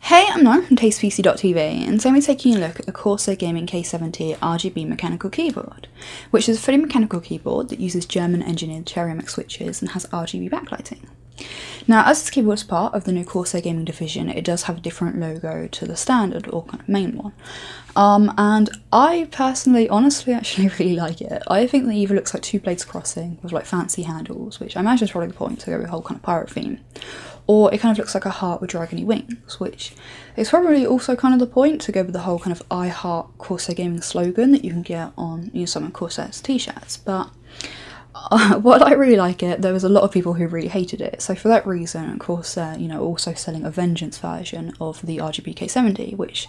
Hey, I'm Lauren from TastePC.tv and today we're taking a look at the Corsair Gaming K70 RGB mechanical keyboard, which is a fully mechanical keyboard that uses German engineered Cherrymac switches and has RGB backlighting. Now, as this keyboard is part of the new Corsair Gaming division, it does have a different logo to the standard or kind of main one. Um, and I personally, honestly, actually really like it. I think the even looks like two blades crossing with like fancy handles, which I imagine is probably the point to go with the whole kind of pirate theme. Or it kind of looks like a heart with dragony wings, which is probably also kind of the point to go with the whole kind of I heart Corsair Gaming slogan that you can get on you know, some of t-shirts. But uh, what I really like it, there was a lot of people who really hated it. So for that reason, Corsair, uh, you know, also selling a Vengeance version of the RGBK70, which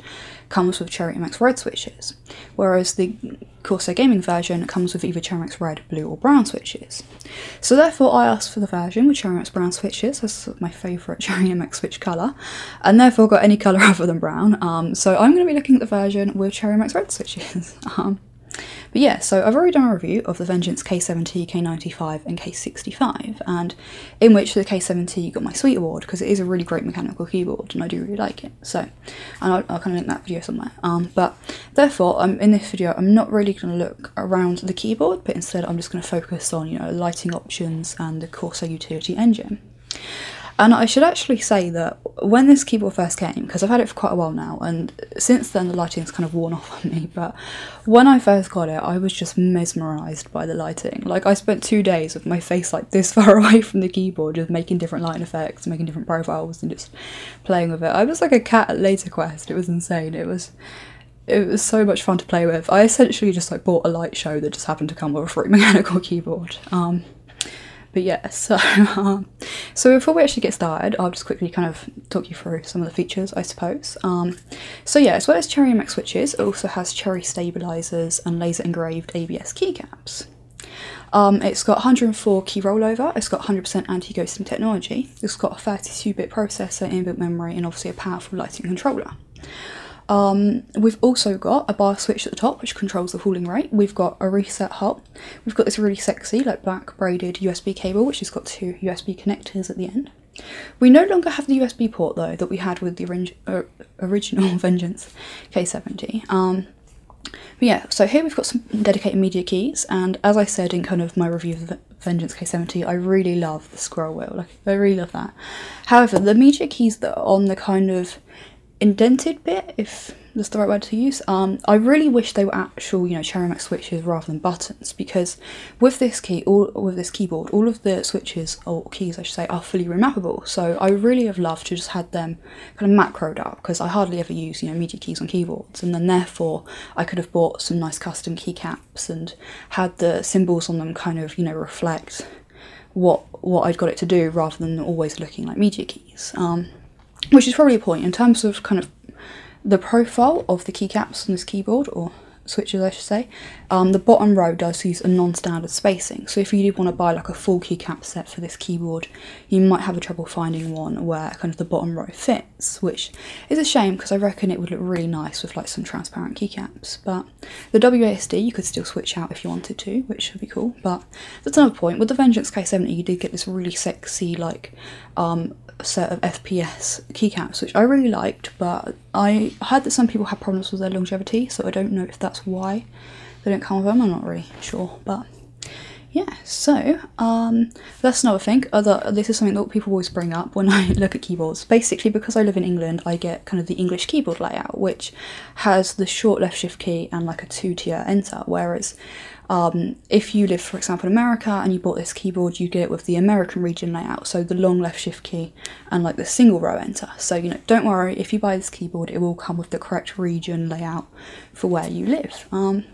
comes with Cherry MX Red switches, whereas the Corsair Gaming version comes with either MX red, blue or brown switches. So therefore I asked for the version with Cherry MX brown switches, as my favourite Cherry MX switch colour, and therefore got any colour other than brown. Um, so I'm going to be looking at the version with Cherry MX red switches. Um, but yeah, so I've already done a review of the Vengeance K70, K95 and K65 and in which the K70 got my sweet award because it is a really great mechanical keyboard and I do really like it. So, I'll, kind of link that video somewhere. Um, but Therefore, um, in this video, I'm not really going to look around the keyboard, but instead I'm just going to focus on, you know, lighting options and the Corsair Utility Engine. And I should actually say that when this keyboard first came, because I've had it for quite a while now, and since then the lighting's kind of worn off on me, but when I first got it, I was just mesmerised by the lighting. Like, I spent two days with my face like this far away from the keyboard, just making different lighting effects, making different profiles, and just playing with it. I was like a cat at Later Quest. It was insane. It was it was so much fun to play with. I essentially just like bought a light show that just happened to come with a free mechanical keyboard. Um, but yeah, so um, so before we actually get started, I'll just quickly kind of talk you through some of the features, I suppose. Um, so yeah, as well as Cherry MX switches, it also has Cherry stabilizers and laser engraved ABS keycaps. Um, it's got 104 key rollover, it's got 100% anti-ghosting technology, it's got a 32-bit processor, inbuilt memory, and obviously a powerful lighting controller. Um, we've also got a bar switch at the top, which controls the cooling rate. We've got a reset hub. We've got this really sexy, like black braided USB cable, which has got two USB connectors at the end. We no longer have the USB port though that we had with the uh, original Vengeance K70. Um, yeah, so here we've got some dedicated media keys, and as I said in kind of my review of the Vengeance K70, I really love the scroll wheel, like, I really love that. However, the media keys that are on the kind of indented bit, if that's the right word to use. Um, I really wish they were actual, you know, Cherrymac switches rather than buttons because with this key, all with this keyboard, all of the switches or keys, I should say, are fully remappable. So I really have loved to just had them kind of macroed up because I hardly ever use you know media keys on keyboards, and then therefore I could have bought some nice custom keycaps and had the symbols on them kind of you know reflect what what I'd got it to do rather than always looking like media keys. Um, which is probably a point in terms of kind of the profile of the keycaps on this keyboard or switches I should say, um, the bottom row does use a non-standard spacing so if you do want to buy like a full keycap set for this keyboard you might have a trouble finding one where kind of the bottom row fits, which is a shame because I reckon it would look really nice with like some transparent keycaps. But the WASD you could still switch out if you wanted to, which would be cool. But that's another point. With the Vengeance K70, you did get this really sexy like um, set of FPS keycaps, which I really liked. But I heard that some people had problems with their longevity, so I don't know if that's why they don't come with them. I'm not really sure, but yeah. So um, that's another thing. Other, this is something that people always bring up when I look at keyboards. Basically, because I live in England, I get kind of the English keyboard layout, which has the short left shift key and like a two-tier enter. Whereas, um, if you live, for example, in America and you bought this keyboard, you get it with the American region layout, so the long left shift key and like the single row enter. So you know, don't worry. If you buy this keyboard, it will come with the correct region layout for where you live. Um,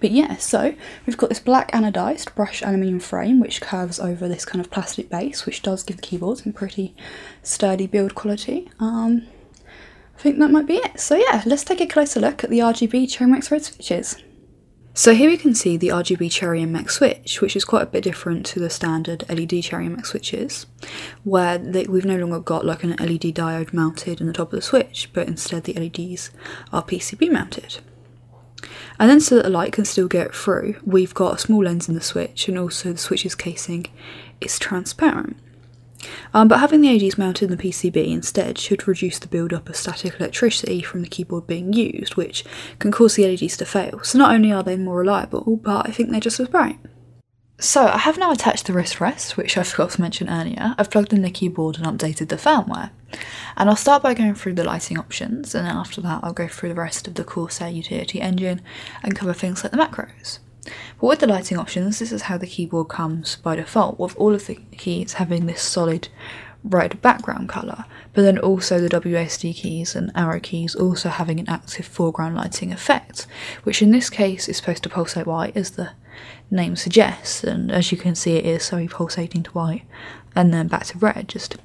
but yeah, so we've got this black anodised brushed aluminium frame which curves over this kind of plastic base which does give the keyboard some pretty sturdy build quality. Um, I think that might be it. So yeah, let's take a closer look at the RGB Cherry Max Red switches. So here we can see the RGB Cherry MX switch, which is quite a bit different to the standard LED Cherry MX switches, where we've no longer got like an LED diode mounted in the top of the switch, but instead the LEDs these are PCB mounted. And then so that the light can still get through, we've got a small lens in the switch and also the switch's casing is transparent. Um, but having the LEDs mounted in the PCB instead should reduce the build-up of static electricity from the keyboard being used, which can cause the LEDs to fail. So not only are they more reliable, but I think they're just as bright. So I have now attached the wrist rest, which I forgot to mention earlier. I've plugged in the keyboard and updated the firmware. And I'll start by going through the lighting options and then after that I'll go through the rest of the Corsair utility engine and cover things like the macros. But with the lighting options, this is how the keyboard comes by default, with all of the keys having this solid bright background colour, but then also the WSD keys and arrow keys also having an active foreground lighting effect, which in this case is supposed to pulsate white as the name suggests, and as you can see, it is slowly pulsating to white and then back to red, just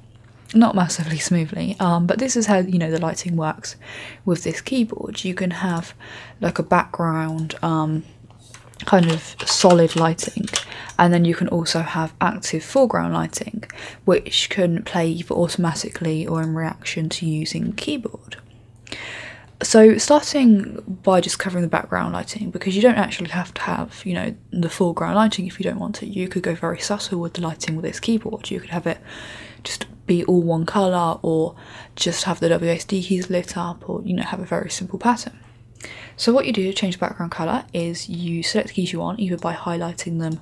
not massively smoothly. Um, but this is how you know the lighting works with this keyboard. You can have like a background, um, kind of solid lighting, and then you can also have active foreground lighting, which can play either automatically or in reaction to using keyboard. So starting by just covering the background lighting because you don't actually have to have, you know, the foreground lighting if you don't want it. You could go very subtle with the lighting with this keyboard. You could have it just be all one colour or just have the WSD keys lit up or, you know, have a very simple pattern. So what you do to change the background colour is you select the keys you want either by highlighting them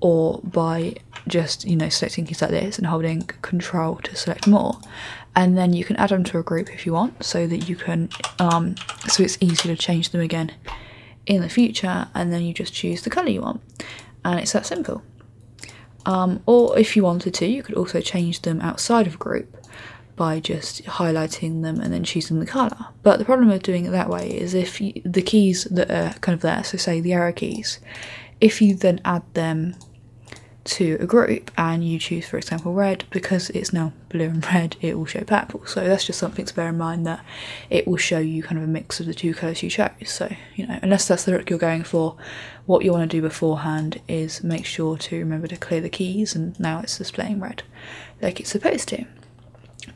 or by just you know selecting keys like this and holding control to select more and then you can add them to a group if you want so that you can um, so it's easy to change them again in the future and then you just choose the colour you want and it's that simple um, or if you wanted to you could also change them outside of group by just highlighting them and then choosing the colour but the problem with doing it that way is if the keys that are kind of there so say the arrow keys if you then add them to a group and you choose for example red because it's now blue and red it will show purple so that's just something to bear in mind that it will show you kind of a mix of the two colours you chose so you know unless that's the look you're going for what you want to do beforehand is make sure to remember to clear the keys and now it's displaying red like it's supposed to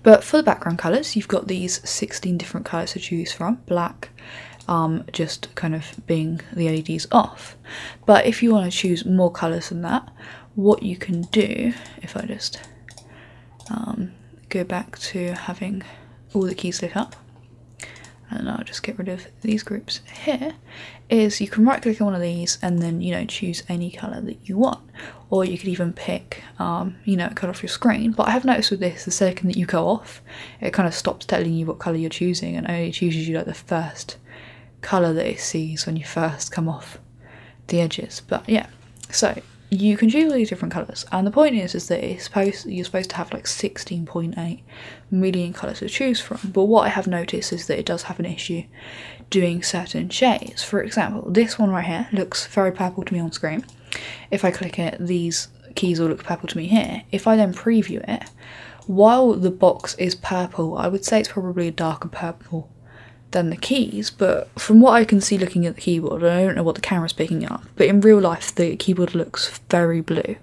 but for the background colours you've got these 16 different colours to choose from black um, just kind of being the LEDs off but if you want to choose more colors than that what you can do if i just um, go back to having all the keys lit up and I'll just get rid of these groups here is you can right click on one of these and then you know choose any color that you want or you could even pick um, you know cut off your screen but I have noticed with this the second that you go off it kind of stops telling you what color you're choosing and only chooses you like the first colour that it sees when you first come off the edges. But yeah, so you can choose all these different colours, and the point is, is that it's supposed you're supposed to have like 16.8 million colours to choose from. But what I have noticed is that it does have an issue doing certain shades. For example, this one right here looks very purple to me on screen. If I click it, these keys will look purple to me here. If I then preview it, while the box is purple, I would say it's probably a darker purple than the keys, but from what I can see looking at the keyboard, I don't know what the camera is picking up, but in real life the keyboard looks very blue.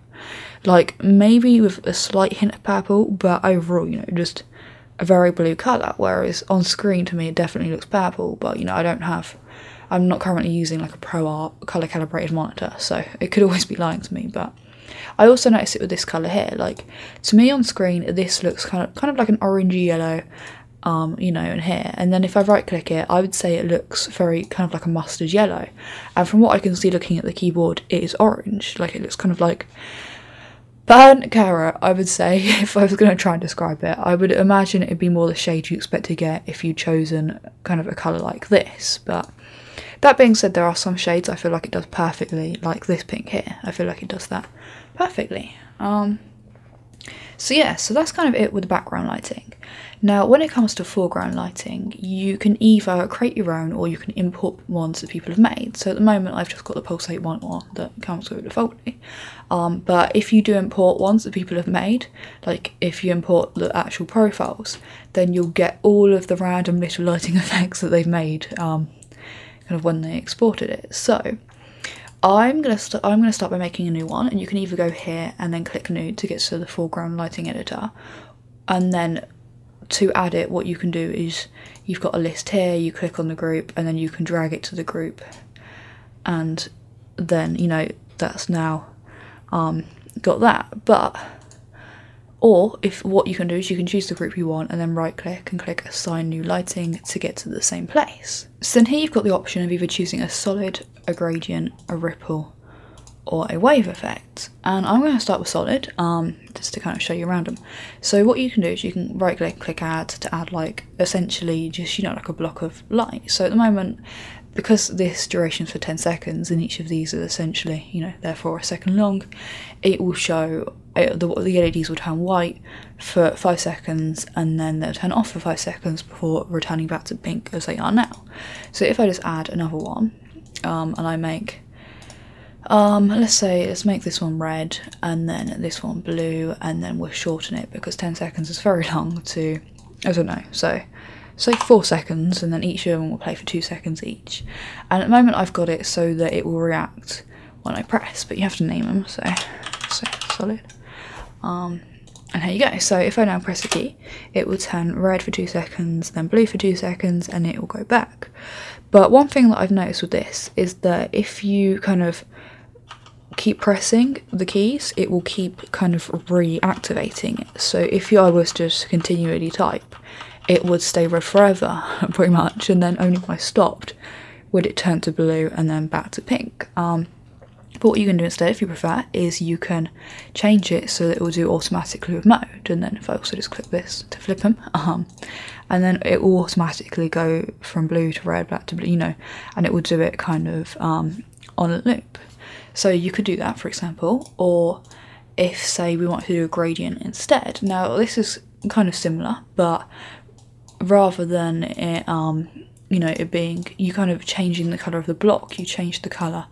Like maybe with a slight hint of purple, but overall, you know, just a very blue colour, whereas on screen to me it definitely looks purple, but you know, I don't have I'm not currently using like a pro art colour calibrated monitor, so it could always be lying to me, but I also noticed it with this colour here. Like to me on screen, this looks kind of kind of like an orangey yellow, um, you know, in here. And then if I right click it, I would say it looks very kind of like a mustard yellow. And from what I can see looking at the keyboard, it is orange. Like it looks kind of like burnt carrot. I would say if I was going to try and describe it, I would imagine it'd be more the shade you expect to get if you'd chosen kind of a colour like this. But that being said, there are some shades I feel like it does perfectly, like this pink here. I feel like it does that perfectly. Um, so yeah, so that's kind of it with the background lighting. Now, when it comes to foreground lighting, you can either create your own or you can import ones that people have made. So at the moment, I've just got the Pulsate one on that comes with it defaultly. Um, but if you do import ones that people have made, like if you import the actual profiles, then you'll get all of the random little lighting effects that they've made um, kind of when they exported it. So I'm gonna i I'm gonna start by making a new one, and you can either go here and then click new to get to the foreground lighting editor, and then to add it, what you can do is you've got a list here. You click on the group, and then you can drag it to the group, and then you know that's now um, got that. But or if what you can do is you can choose the group you want and then right click and click assign new lighting to get to the same place. So then here you've got the option of either choosing a solid, a gradient, a ripple, or a wave effect. And I'm going to start with solid, um, just to kind of show you around them. So what you can do is you can right click, click add to add like essentially just, you know, like a block of light. So at the moment, because this duration's for 10 seconds and each of these is essentially, you know, therefore a second long, it will show the, LEDs will turn white for five seconds and then they'll turn off for five seconds before returning back to pink as they are now. So if I just add another one um, and I make um, let's say let's make this one red and then this one blue and then we'll shorten it because 10 seconds is very long to I don't know so say four seconds and then each of them will play for two seconds each and at the moment I've got it so that it will react when I press, but you have to name them, so, so solid. Um, and here you go. So if I now press a key, it will turn red for two seconds, then blue for two seconds, and it will go back. But one thing that I've noticed with this is that if you kind of keep pressing the keys, it will keep kind of reactivating it. So if I was just continually type, it would stay red forever, pretty much, and then only if I stopped would it turn to blue and then back to pink. Um, but what you can do instead, if you prefer, is you can change it so that it will do automatically with mode. And then if I also just click this to flip them, um, and then it will automatically go from blue to red, black to blue, you know, and it will do it kind of um, on a loop. So you could do that, for example, or if say we want to do a gradient instead. Now this is kind of similar but rather than it um you know it being you kind of changing the colour of the block you change the colour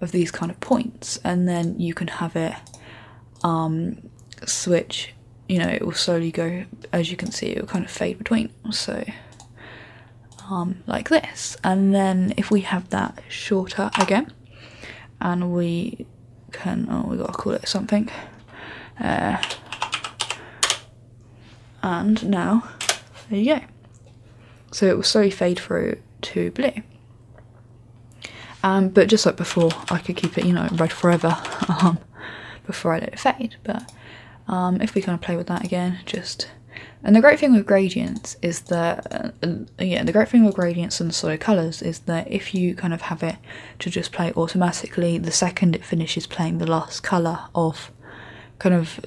of these kind of points and then you can have it um switch you know it will slowly go as you can see it will kind of fade between so um like this and then if we have that shorter again and we can, oh, we got to call it something. Uh, and now, there you go. So it will slowly fade through to blue. Um, but just like before, I could keep it, you know, red forever um, before I let it fade. But um, if we kind of play with that again, just... And the great thing with gradients is that uh, yeah, the great thing with gradients and solid colours is that if you kind of have it to just play automatically, the second it finishes playing the last colour of kind of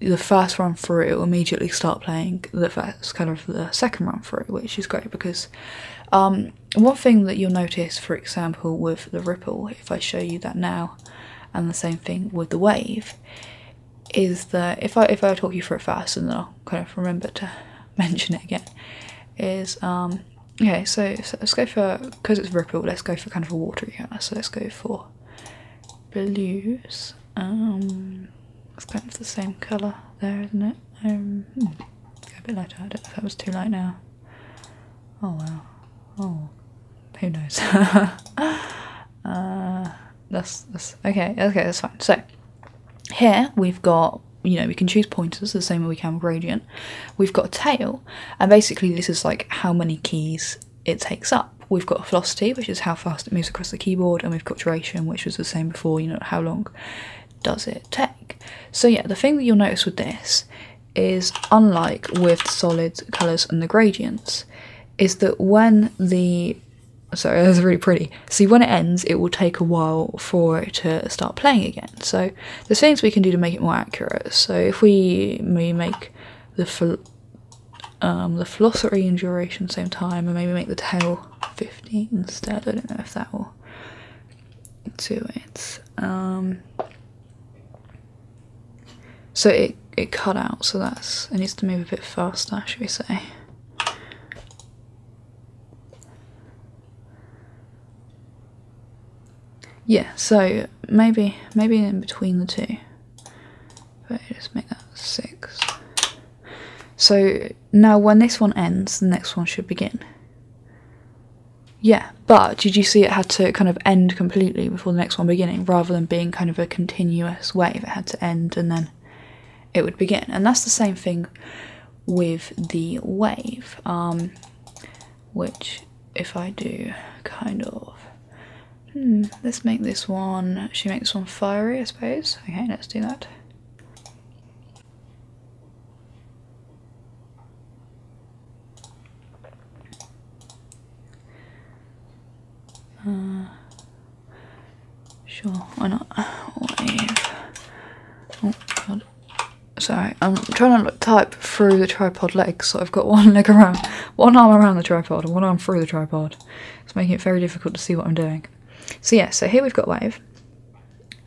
the first run through, it will immediately start playing the first kind of the second run through, which is great because um, one thing that you'll notice, for example, with the ripple, if I show you that now, and the same thing with the wave, is that if I if I talk you through it fast and then I'll kind of remember to mention it again is um okay so, let's go for because it's ripple let's go for kind of a watery color so let's go for blues um it's kind of the same color there isn't it um hmm, a bit lighter i don't know if that was too light now oh wow oh who knows uh that's, that's okay okay that's fine so here we've got you know we can choose pointers the same way we can with gradient. We've got a tail, and basically this is like how many keys it takes up. We've got velocity, which is how fast it moves across the keyboard, and we've got duration, which was the same before. You know how long does it take? So yeah, the thing that you'll notice with this is unlike with solids, colours and the gradients, is that when the so it was really pretty. See, when it ends, it will take a while for it to start playing again. So there's things we can do to make it more accurate. So if we, we make the um, the philosophy and duration same time, and maybe make the tail 15 instead, I don't know if that will do it. Um, so it, it cut out, so that's, it needs to move a bit faster, should we say. Yeah, so maybe maybe in between the two. But just make that six. So now when this one ends, the next one should begin. Yeah, but did you see it had to kind of end completely before the next one beginning rather than being kind of a continuous wave? It had to end and then it would begin. And that's the same thing with the wave um which if i do kind of hmm, let's make this one she makes one fiery i suppose okay let's do that uh, Sure, why not? Wave. Oh god. Sorry, I'm trying to type through the tripod legs, so I've got one leg around, one arm around the tripod and one arm through the tripod. It's making it very difficult to see what I'm doing. So yeah, so here we've got wave,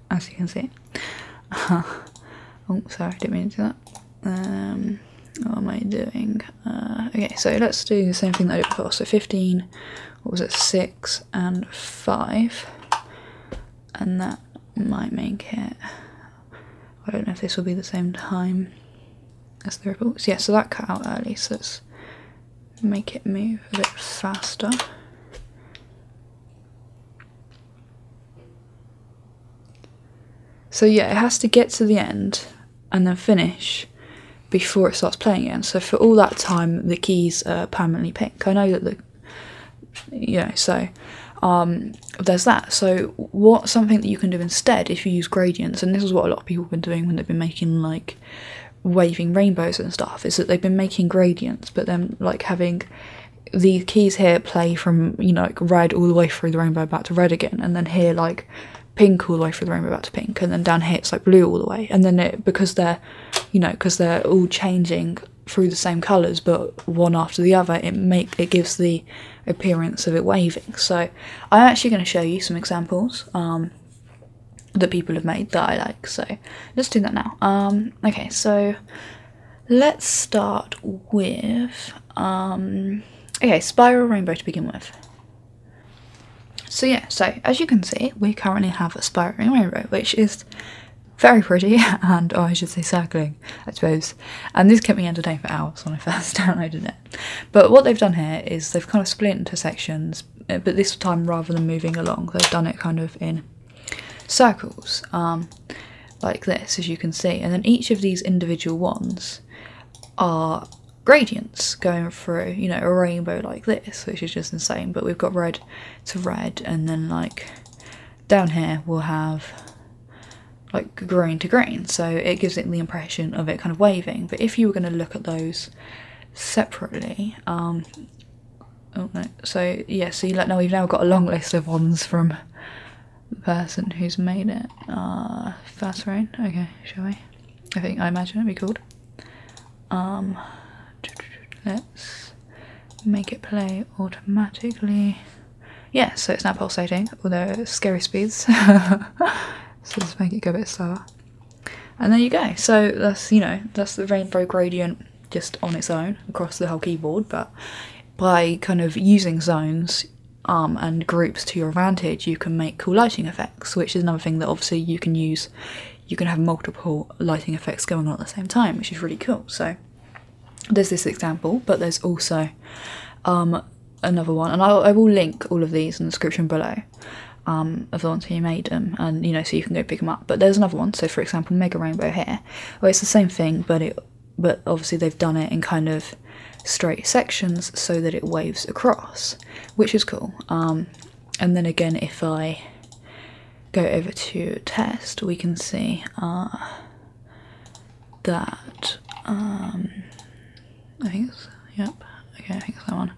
as you can see. oh, sorry, I didn't mean to do that. Um, what am I doing? Uh, okay, so let's do the same thing that I did before. So 15, what was it, 6, and five, and that might make it. I don't know if this will be the same time as the reports. Yeah, so that cut out early, so let's make it move a bit faster. So yeah, it has to get to the end and then finish before it starts playing again. So for all that time, the keys are permanently pink. I know that the yeah, so um, there's that so what something that you can do instead if you use gradients and this is what a lot of people have been doing when they've been making like waving rainbows and stuff is that they've been making gradients but then like having the keys here play from you know like red all the way through the rainbow back to red again and then here like pink all the way through the rainbow back to pink and then down here it's like blue all the way and then it because they're you know, because they're all changing through the same colours, but one after the other, it make it gives the appearance of it waving. So I'm actually going to show you some examples um, that people have made that I like. So let's do that now. Um, okay, so let's start with um, okay spiral rainbow to begin with. So yeah, so as you can see, we currently have a spiral rainbow, which is very pretty, and oh, I should say circling, I suppose. And this kept me entertained for hours when I first downloaded it. But what they've done here is they've kind of split into sections, uh, but this time rather than moving along, they've done it kind of in circles, um, like this, as you can see. And then each of these individual ones are gradients going through, you know, a rainbow like this, which is just insane. But we've got red, to red and then like down here we'll have like green to green so it gives it the impression of it kind of waving but if you were going to look at those separately um oh no so yeah so you like no, we've now got a long list of ones from the person who's made it uh fast rain okay shall we i think i imagine it'd be called um, let's make it play automatically. Yeah, so it's now pulsating, although scary speeds. so let's make it go a bit slower. And there you go. So that's, you know, that's the rainbow gradient just on its own across the whole keyboard, but by kind of using zones um, and groups to your advantage, you can make cool lighting effects, which is another thing that obviously you can use you can have multiple lighting effects going on at the same time, which is really cool. So there's this example, but there's also um, another one, and I, will link all of these in the description below. Um, of the ones who made them, and you know, so you can go pick them up. But there's another one. So, for example, Mega Rainbow here, Well, it's the same thing, but it, but obviously they've done it in kind of straight sections so that it waves across, which is cool. Um, and then again, if I go over to test, we can see uh, that um, I think it's yep. Okay, I think it's that one.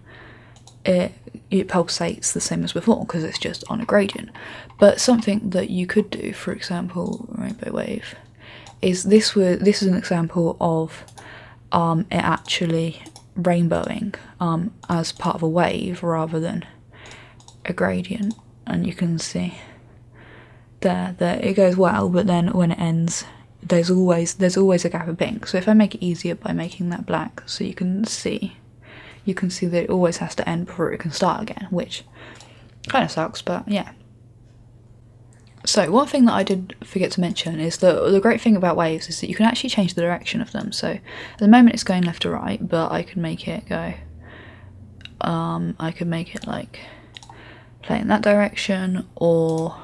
It it pulsates the same as before because it's just on a gradient. But something that you could do, for example, rainbow wave, is this was this is an example of um, it actually rainbowing um, as part of a wave rather than a gradient and you can see there that it goes well but then when it ends there's always there's always a gap of pink so if I make it easier by making that black so you can see you can see that it always has to end before it can start again which kind of sucks but yeah so one thing that I did forget to mention is that the great thing about waves is that you can actually change the direction of them so at the moment it's going left to right, but I could make it go. Um, I could make it like play in that direction or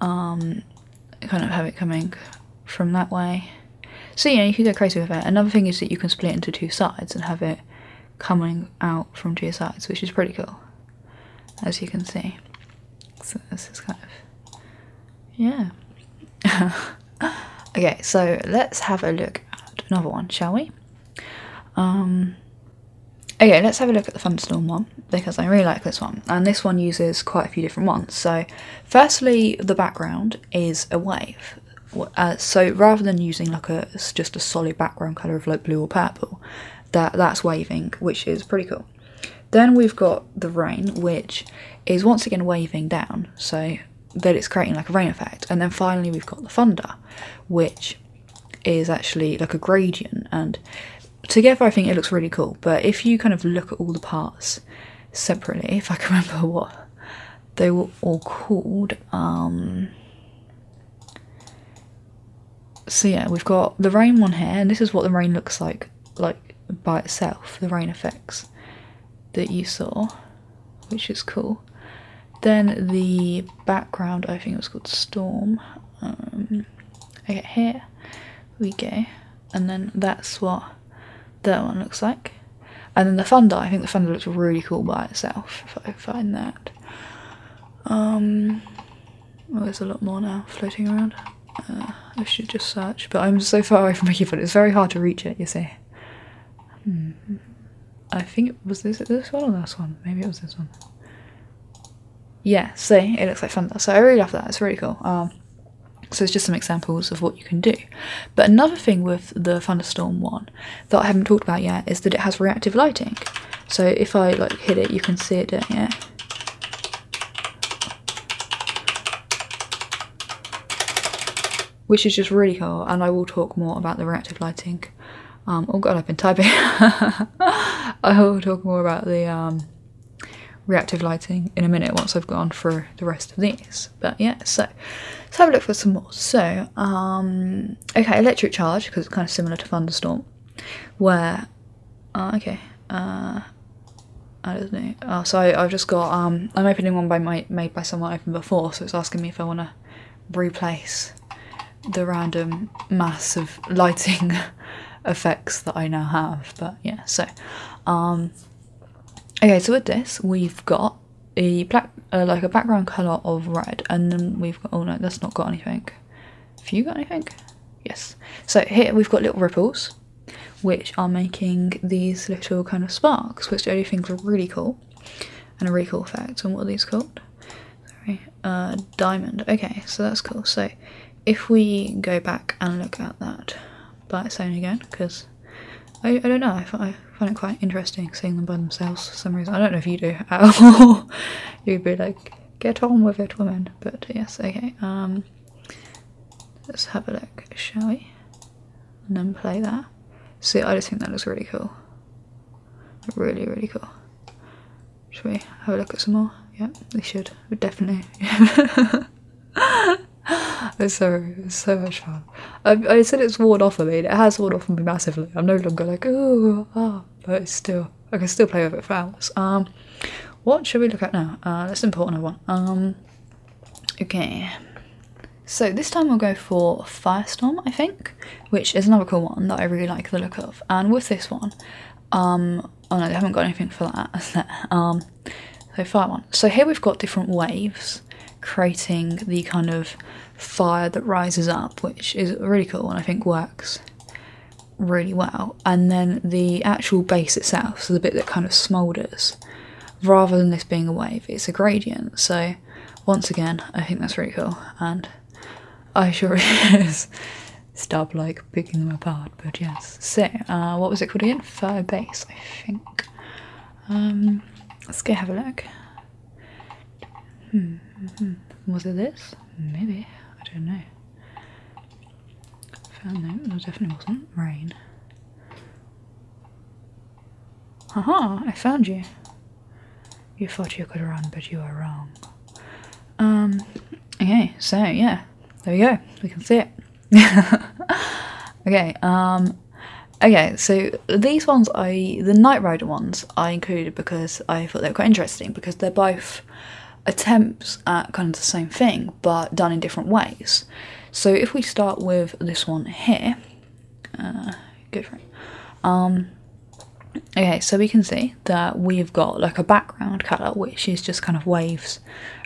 um, kind of have it coming from that way. So yeah, you can go crazy with it. Another thing is that you can split into two sides and have it coming out from two sides, which is pretty cool, as you can see. So this is kind of yeah. okay, so let's have a look at another one, shall we? Um, okay, let's have a look at the Thunderstorm one because I really like this one, and this one uses quite a few different ones. So, firstly, the background is a wave. Uh, so rather than using like a just a solid background color of like blue or purple, that that's waving, which is pretty cool. Then we've got the rain, which is once again waving down. So that it's creating like a rain effect. And then finally, we've got the thunder, which is actually like a gradient. And together, I think it looks really cool. But if you kind of look at all the parts separately, if I can remember what they were all called, um, so yeah, we've got the rain one here, and this is what the rain looks like, like by itself, the rain effects that you saw, which is cool. Then the background, I think it was called Storm. Um, okay, here we go. And then that's what that one looks like. And then the thunder, I think the thunder looks really cool by itself, if I find that. Um, well, oh, there's a lot more now floating around. Uh, I should just search, but I'm so far away from my keyboard, it's very hard to reach it, you see. Hmm. I think it was this one or last one. Maybe it was this one. Yeah, see, it looks like Thunder. So I really love that. It's really cool. Um, so it's just some examples of what you can do. But another thing with the thunderstorm one that I haven't talked about yet is that it has reactive lighting. So if I like hit it, you can see it doing it which is just really cool and I will talk more about the reactive lighting um, oh god I've been typing I will talk more about the um, reactive lighting in a minute once I've gone through the rest of this. but yeah so let's have a look for some more so um, okay electric charge because it's kind of similar to thunderstorm where uh, okay uh, I don't know. Oh, so I, have just got, um, I'm opening one by my, made by someone I opened before, so it's asking me if I want to replace the random mass of lighting effects that I now have. But yeah, so, um, okay, so with this, we've got a black, uh, like a background colour of red, and then we've got, oh no, that's not got anything. Have you got anything? Yes. So here we've got little ripples, which are making these little kind of sparks, which I think are really cool and a recall effect. And what are these called? Sorry, uh, diamond. Okay, so that's cool. So if we go back and look at that by itself again, because I, don't know, I, find it quite interesting seeing them by themselves for some reason. I don't know if you do at all. You'd be like, get on with it, woman. But yes, okay. Um, let's have a look, shall we? and then play that. See, I just think that looks really cool. Really, really cool. Should we have a look at some more? Yeah, we should. We definitely. it's so so much fun. I, said it's worn off on me. It has worn off on me massively. I'm no longer like oh, ah, but it's still I can still play with it for hours. Um, what should we look at now? Uh, that's an important one. Um, Okay, so this time we'll go for Firestorm, I think, which is another cool one that I really like the look of. And with this one, um, oh no, they haven't got anything for that. um, so fire one. So here we've got different waves creating the kind of fire that rises up, which is really cool and I think works really well. And then the actual base itself, so the bit that kind of smoulders, rather than this being a wave. It's a gradient. So once again, I think that's really cool and I sure Stop like picking them apart, but yes. So, uh, what was it called again? Fur base, I think. Um, let's go have a look. Hmm, hmm, hmm. Was it this? Maybe. I don't know. Found no, definitely wasn't. Rain. Haha, I found you. You thought you could run, but you are wrong. Um, okay, so yeah, there we go. We can see it. okay, um, okay, so these ones I, the Night Rider ones, I included because I thought they were quite interesting because they're both attempts at kind of the same thing but done in different ways. So if we start with this one here, good uh, go for it. Um, okay, so we can see that we've got like a background colour, which is just kind of waves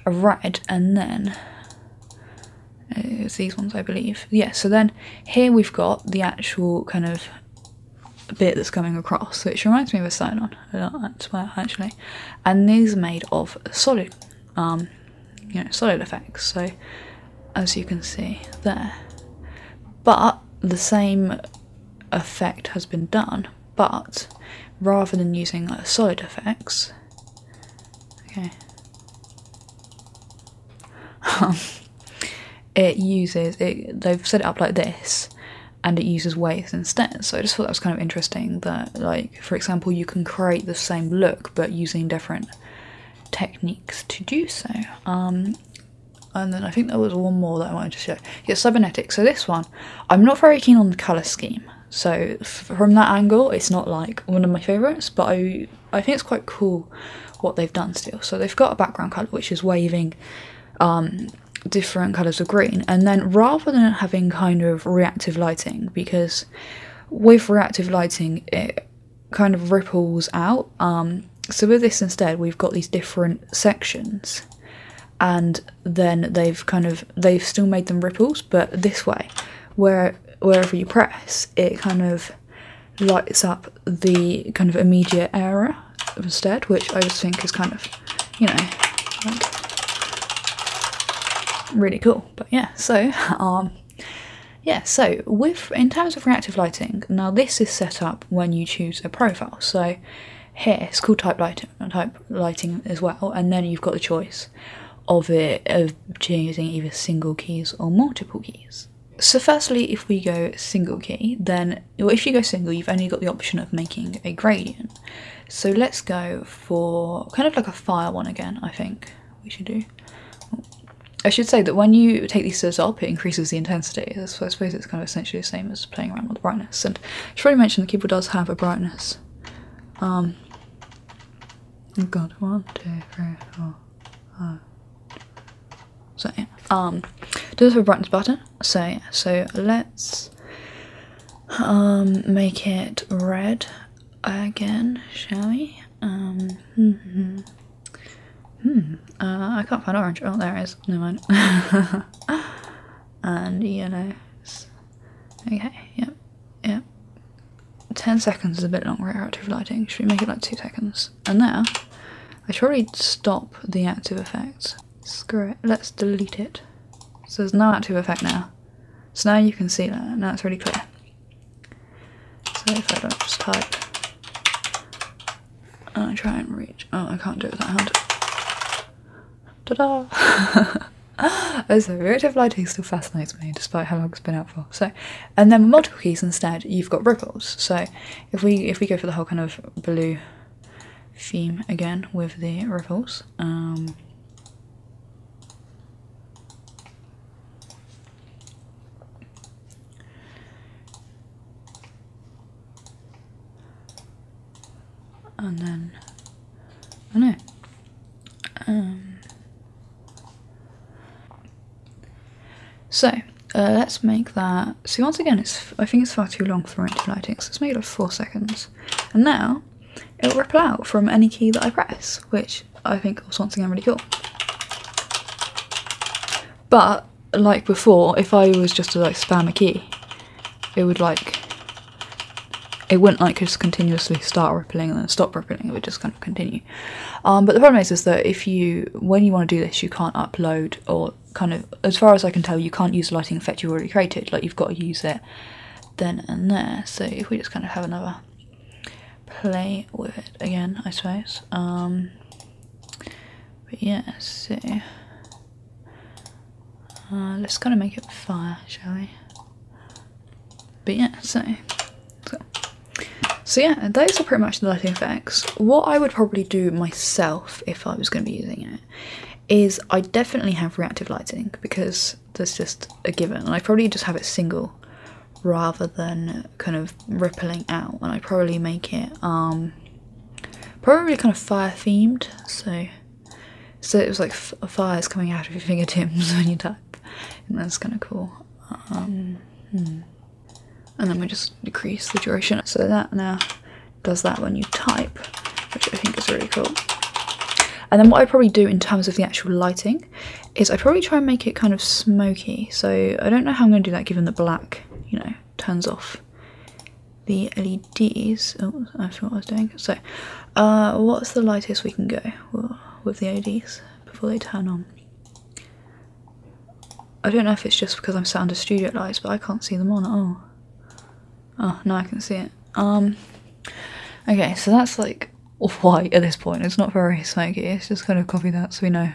of red, and then it's uh, these ones, I believe. Yes. so then here we've got the actual kind of bit that's coming across, which reminds me of a a lot. that's where actually. And these are made of solid. Um, you solid effects, so as you can see there. But the same effect has been done, but rather than using solid effects, okay, it uses it. They've set it up like this, and it uses waves instead. So I just thought that was kind of interesting that like for example you can create the same look but using different techniques to do so um, and then I think there was one more that I wanted to show yeah cybernetics so this one I'm not very keen on the color scheme so from that angle it's not like one of my favorites but I I think it's quite cool what they've done still so they've got a background color which is waving um, different colors of green and then rather than having kind of reactive lighting because with reactive lighting, it kind of ripples out. Um, so with this instead, we've got these different sections, and then they've kind of they've still made them ripples, but this way, where wherever you press, it kind of lights up the kind of immediate area instead, which I just think is kind of, you know, really cool. But yeah, so um, yeah, so with in terms of reactive lighting, now this is set up when you choose a profile. So here it's called type lighting, type lighting as well, and then you've got the choice of it of choosing either single keys or multiple keys. So firstly, if we go single key, then if you go single, you've only got the option of making a gradient. So let's go for kind of like a fire one again, I think we should do. I should say that when you take these stairs up, it increases the intensity. So I suppose it's kind of essentially the same as playing around with the brightness. And I have already mentioned the keyboard does have a brightness. Um, oh god, one, two, three, four, five. So yeah, um, does have a brightness button. So yeah, so let's um make it red again, shall we? Um, hmm, -hmm. Hmm. Uh, I can't find orange. Oh, there it is. Never mind. and yellow. Okay. Yep. Yep. Ten seconds is a bit long. We're active lighting. Should we make it like two seconds? And now, I should really stop the active effect. Screw it. Let's delete it. So there's no active effect now. So now you can see that. Now it's really clear. So if I don't just type and I try and reach oh I can't do it with that hand. Ta-da! also, oh, reactive lighting still fascinates me despite how long it's been out for. So and then multiple keys instead you've got ripples. So if we if we go for the whole kind of blue theme again with the ripples, um and then, I know, um, so uh, let's make that. See, once again, it's I think it's far too long for interlighting, so let's make it like four seconds. And now it will repel out from any key that I press, which I think was once again really cool. But like before, if I was just to like spam a key, it would like it wouldn't like just continuously start rippling and then stop rippling, it would just kind of continue. Um, but the problem is is that if you when you want to do this you can't upload or kind of as far as I can tell you can't use the lighting effect you've already created, like you've got to use it then and there. So if we just kind of have another play with it again, I suppose. Um, but yeah, let's see. Uh, let's kind of make it fire, shall we? But yeah, so. So yeah, those are pretty much the lighting effects. What I would probably do myself if I was going to be using it is I definitely have reactive lighting because that's just a given. And I probably just have it single rather than kind of rippling out. And I probably make it um, probably kind of fire themed. So so it was like f fires coming out of your fingertips when you type, and that's kind of cool. Um, hmm. And then we just decrease the duration. So that now does that when you type, which I think is really cool. And then what I probably do in terms of the actual lighting is I probably try and make it kind of smoky. So I don't know how I'm going to do that given the black, you know, turns off the LEDs. Oh, I forgot what I was doing. So uh, what's the lightest we can go with the LEDs before they turn on? I don't know if it's just because I'm sat under studio lights, but I can't see them on at all. Oh, no, I can see it. Um, okay, so that's like or white at this point. It's not very smoky. It's just kind of copy that so we know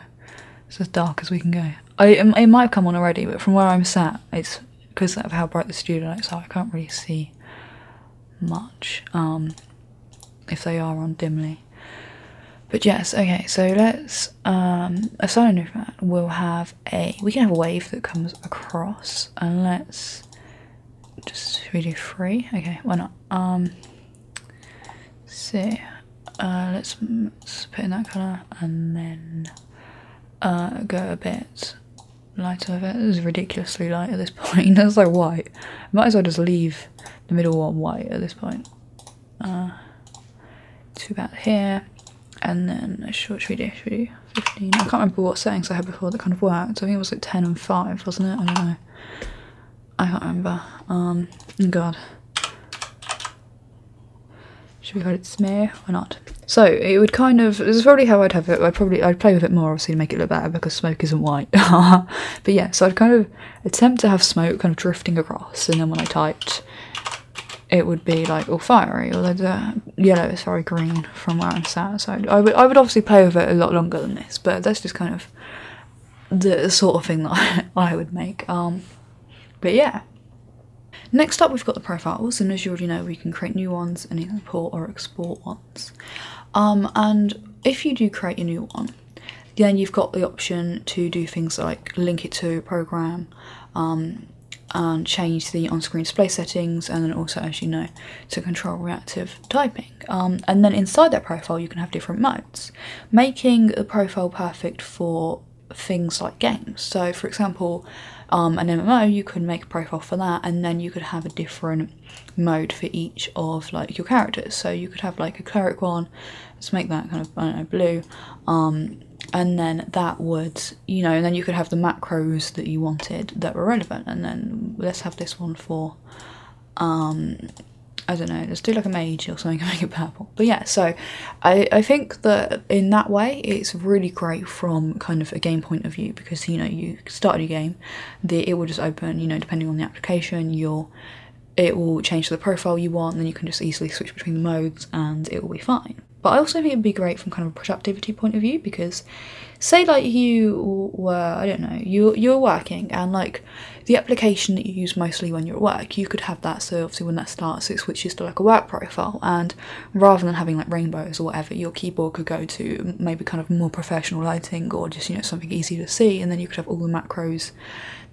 it's as dark as we can go. I it might have come on already, but from where I'm sat, it's because of how bright the studio lights are. I can't really see much um, if they are on dimly. But yes, okay. So let's um, a solo we will have a we can have a wave that comes across and let's just we do three. Okay, why not? Um, so uh, let's, put in that colour and then uh, go a bit lighter It is ridiculously light at this point. That's like white. Might as well just leave the middle one white at this point. Uh, to about here, and then should, should we do? Should we do 15? I can't remember what settings I had before that kind of worked. I think it was like 10 and 5, wasn't it? I don't know. I can't remember. Um, God. Should we call it smear or not? So it would kind of this is probably how I'd have it. I probably I'd play with it more obviously to make it look better because smoke isn't white. but yeah, so I'd kind of attempt to have smoke kind of drifting across, and then when I typed, it would be like all fiery, although the yellow is very green from where I'm sat. So I would I would obviously play with it a lot longer than this, but that's just kind of the sort of thing that I would make. Um, but yeah. Next up we've got the profiles and as you already know we can create new ones and import or export ones. Um, and if you do create a new one then you've got the option to do things like link it to a program um, and change the on-screen display settings and then also as you know to control reactive typing. Um, and then inside that profile, you can have different modes, making the profile perfect for things like games. So, for example, um, an MMO, you could make a profile for that, and then you could have a different mode for each of like your characters. So you could have like a cleric one. Let's make that kind of I don't know blue, um, and then that would you know, and then you could have the macros that you wanted that were relevant, and then let's have this one for um I don't know, let's do like a mage or something and make it purple. But yeah, so I, I think that in that way it's really great from kind of a game point of view because you know you start your game, the it will just open, you know, depending on the application, your it will change to the profile you want, and then you can just easily switch between the modes and it will be fine. But I also think it'd be great from kind of a productivity point of view because say like you were, I don't know, you you're working and like the application that you use mostly when you're at work, you could have that so obviously when that starts it switches to like a work profile and rather than having like rainbows or whatever, your keyboard could go to maybe kind of more professional lighting or just you know something easy to see and then you could have all the macros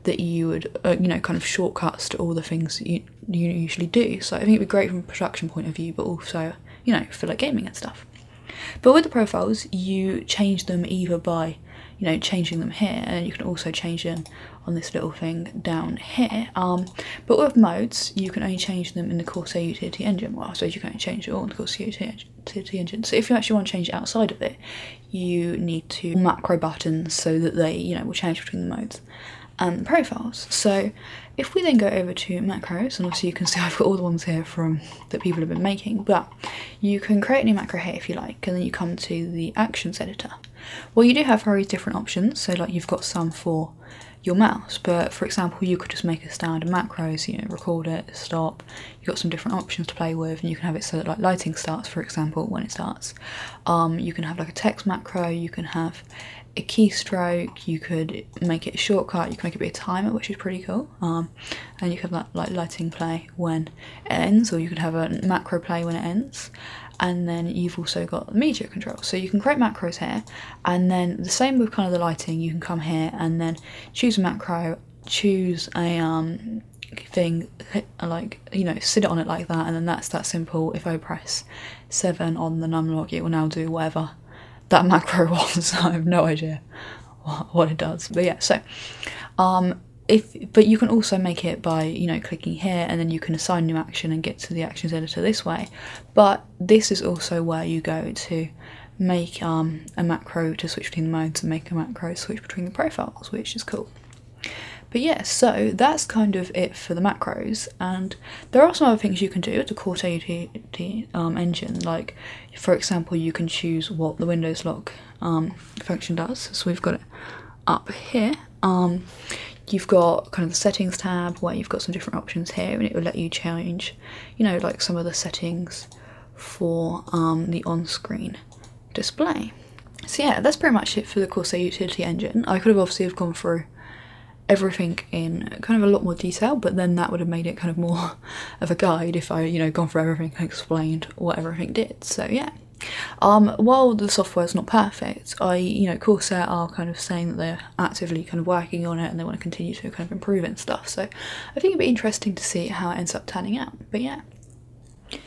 that you would uh, you know kind of shortcuts to all the things that you, you usually do. So I think it'd be great from a production point of view but also you know for like gaming and stuff. But with the profiles, you change them either by, you know, changing them here, and you can also change them on this little thing down here. Um, but with modes, you can only change them in the Corsair Utility Engine. Well, so you can not change it all in the Corsair Utility Engine. So if you actually want to change it outside of it, you need to macro buttons so that they, you know, will change between the modes and the profiles. So if we then go over to macros, and obviously you can see I've got all the ones here from that people have been making, but you can create a new macro here if you like, and then you come to the actions editor. Well, you do have various different options, so like you've got some for your mouse, but for example, you could just make a standard macros, you record it, stop. You've got some different options to play with, and you can have it so that like lighting starts, for example, when it starts. Um, you can have like a text macro, you can have a keystroke, you could make it a shortcut, you can make it be a timer, which is pretty cool. Um, and you can have that like lighting play when it ends or you can have a macro play when it ends and then you've also got media control so you can create macros here and then the same with kind of the lighting you can come here and then choose a macro choose a um, thing like you know sit on it like that and then that's that simple if I press 7 on the lock, it will now do whatever that macro was I have no idea what it does but yeah so um if but you can also make it by you know clicking here and then you can assign new action and get to the actions editor this way but this is also where you go to make um, a macro to switch between the modes and make a macro switch between the profiles which is cool but yeah so that's kind of it for the macros and there are some other things you can do to core the um, engine like for example you can choose what the windows look um, function does. So we've got it up here. Um, you've got kind of the settings tab where you've got some different options here, and it will let you change, you know, like some of the settings for um, the on-screen display. So yeah, that's pretty much it for the Corsair Utility Engine. I could have obviously have gone through everything in kind of a lot more detail, but then that would have made it kind of more of a guide if I, you know, gone through everything and explained what everything did. So yeah. Um, while the software is not perfect, I, you know, Corsair are kind of saying that they're actively kind of working on it and they want to continue to kind of improve and stuff. So I think it'd be interesting to see how it ends up turning out. But yeah.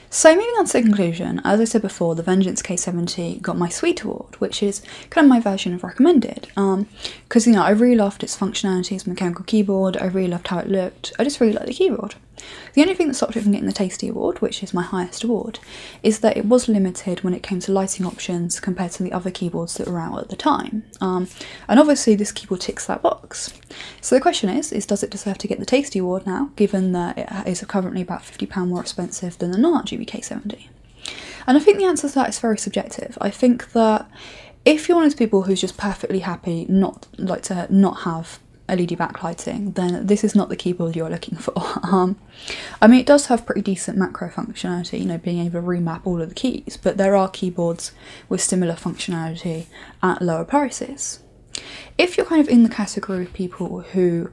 So moving on to the conclusion, as I said before, the Vengeance K70 got my Sweet Award, which is kind of my version of recommended. Because um, you know, I really loved its functionality, its mechanical keyboard. I really loved how it looked I just really like the keyboard. The only thing that stopped it from getting the Tasty Award, which is my highest award, is that it was limited when it came to lighting options compared to the other keyboards that were out at the time. Um, and obviously this keyboard ticks that box. So the question is, is does it deserve to get the Tasty Award now, given that it is currently about £50 more expensive than the non gbk 70 And I think the answer to that is very subjective. I think that if you're one of those people who's just perfectly happy not like to not have LED backlighting, then this is not the keyboard you're looking for. Um, I mean, it does have pretty decent macro functionality, you know, being able to remap all of the keys, but there are keyboards with similar functionality at lower prices. If you're kind of in the category of people who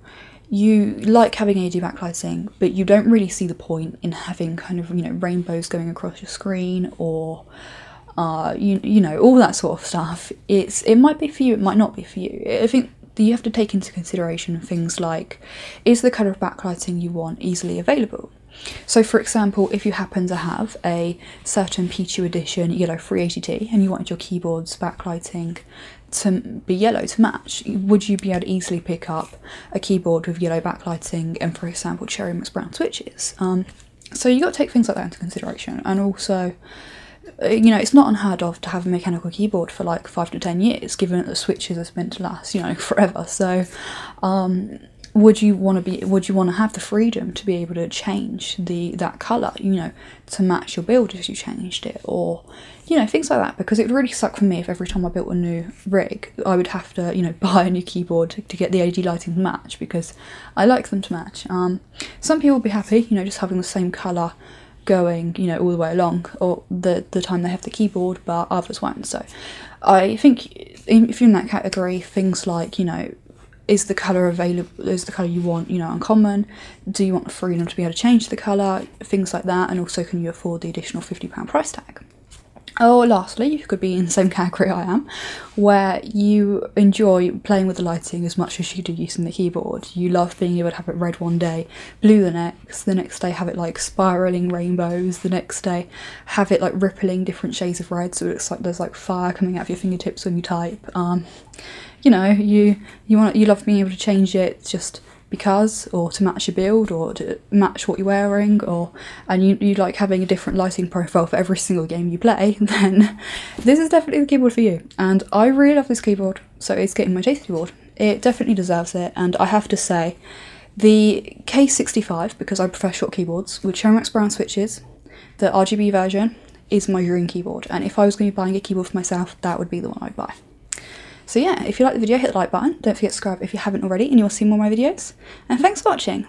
you like having LED backlighting, but you don't really see the point in having kind of, you know, rainbows going across your screen or uh, you you know all that sort of stuff. It's it might be for you, it might not be for you. I think you have to take into consideration things like is the color of backlighting you want easily available. So, for example, if you happen to have a certain Pichu Edition Yellow 380T and you wanted your keyboard's backlighting to be yellow to match, would you be able to easily pick up a keyboard with yellow backlighting and, for example, Cherry Mix Brown switches? Um, so you got to take things like that into consideration, and also, uh, you know, it's not unheard of to have a mechanical keyboard for like five to ten years, given that switches are meant to last, you know, forever. So, um, would you want to be? Would you want to have the freedom to be able to change the that color, you know, to match your build if you changed it, or you know, things like that? Because it would really suck for me if every time I built a new rig, I would have to, you know, buy a new keyboard to, to get the LED lighting to match because I like them to match. Um, some people will be happy, you know, just having the same colour going, you know, all the way along, or the the time they have the keyboard, but others won't. So, I think if you're in that category, things like you know, is the color available? Is the color you want, you know, uncommon? Do you want the freedom to be able to change the color? Things like that, and also can you afford the additional fifty pound price tag? Oh, lastly, you could be in the same category I am, where you enjoy playing with the lighting as much as you do using the keyboard. You love being able to have it red one day, blue the next, the next day have it like spiraling rainbows, the next day have it like rippling different shades of red so it looks like there's like fire coming out of your fingertips when you type. Um, you know, you you want you love being able to change it just because or to match your build or to match what you're wearing or and you, you like having a different lighting profile for every single game you play, then this is definitely the keyboard for you. And I really love this keyboard, so it's getting my taste award. It definitely deserves it, and I have to say, the K65, because I prefer short keyboards, with Chermax Brown switches, the RGB version, is my dream keyboard. And if I was going to be buying a keyboard for myself, that would be the one I'd buy. So yeah, if you like the video, hit the like button. Don't forget to subscribe if you haven't already and you will see more of my videos. And thanks for watching.